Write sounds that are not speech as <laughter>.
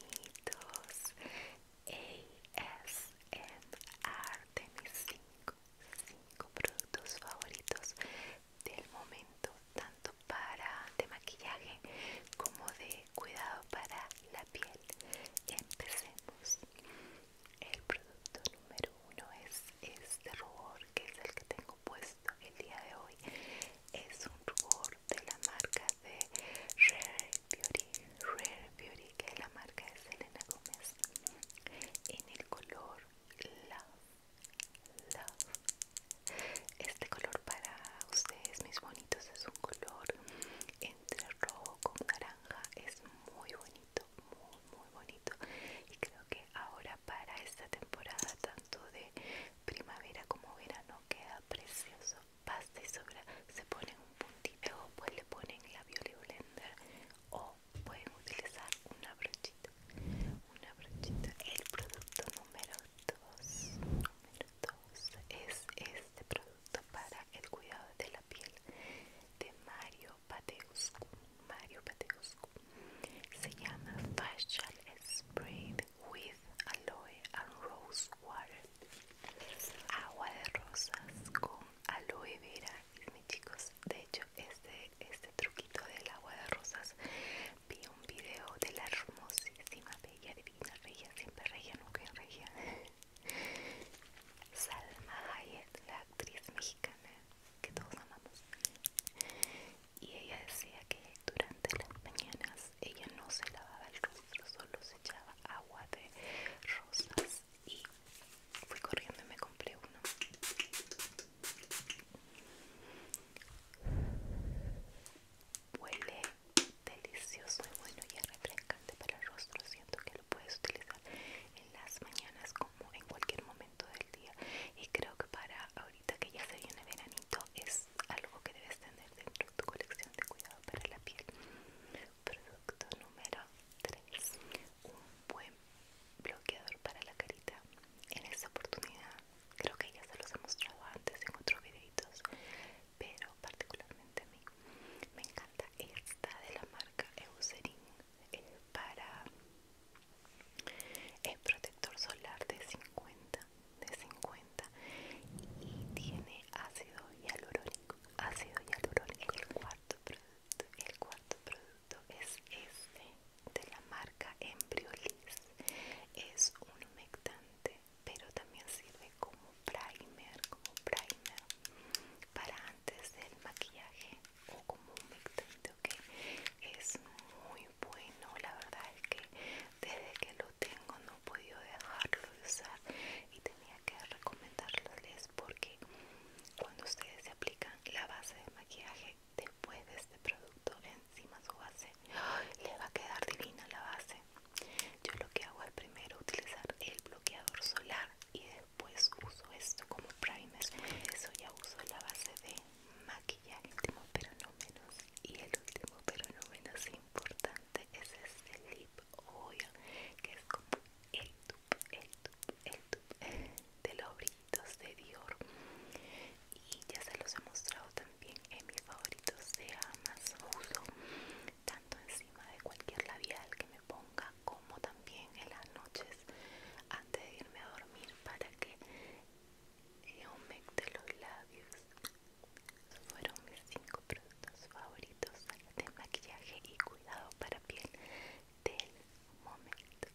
Bonitos ASMR de 5 productos favoritos del momento, tanto para de maquillaje como de cuidado para la piel. Empecemos. El producto número uno es este rubor que es el que tengo puesto el día de hoy es un rubor de la marca de Rare Beauty, Rare Beauty que es la marca de Selena Gómez en el color Love, Love. Este color para ustedes mis bonitos es un color entre rojo con naranja, es muy bonito, muy muy bonito y creo que ahora para esta temporada tanto de primavera como verano queda precioso pasta y sobra se pone un puntito o pues le ponen la y blender o pueden utilizar una brochita una brochita el producto número 2 número 2 es este producto para el cuidado de la piel de Mario Mario Mario Pateuscu Se llama Facial Spray with Aloe and Rose Water. Agua de rosas con aloe vera. Mis chicos, de hecho, este, este truquito del agua de rosas vi un video de la hermosísima, bella, divina, Reyes, siempre regia, nunca regia. <laughs> Salma Hayek, la actriz mexicana que todos amamos y ella decía que durante las mañanas ella no se lavaba el rostro solo se echaba agua de rosas y fui corriendo y me compré uno huele delicioso y bueno y es refrescante para el rostro siento que lo puedes utilizar en las mañanas como en cualquier momento del día y creo que para ahorita que ya se viene veranito es algo que debes tener dentro de tu colección de cuidado para la piel producto número 3 un buen bloqueador para la carita en esta oportunidad creo que ya se los he mostrado antes en otros videitos pero particularmente a mí me encanta esta, de la marca Eucerin es para el protector solar de 50 de 50 y tiene ácido hialurónico ácido hialurónico el cuarto producto el cuarto producto es este de la marca Embryolis es un humectante pero también sirve como primer, como primer para antes del maquillaje o como un mixante, que Es muy bueno, la verdad es que desde que lo tengo no he podido dejarlo de usar y tenía que recomendárseles porque cuando ustedes se aplican la base de maquillaje después de este producto encima su base, <gasps> le va a quedar divina la base yo lo que hago es primero utilizar el bloqueador solar y después uso esto como primer eso ya uso la base de maquillaje pero no menos y el último pero no menos importante es este lip oil que es como el tube, el tube, el tube de los brillitos de Dior y ya se los he mostrado también en mis favoritos de Amazon uso tanto encima de cualquier labial que me ponga como también en las noches antes de irme a dormir para que aumente los labios fueron mis cinco productos favoritos de maquillaje y cuidado para piel del momento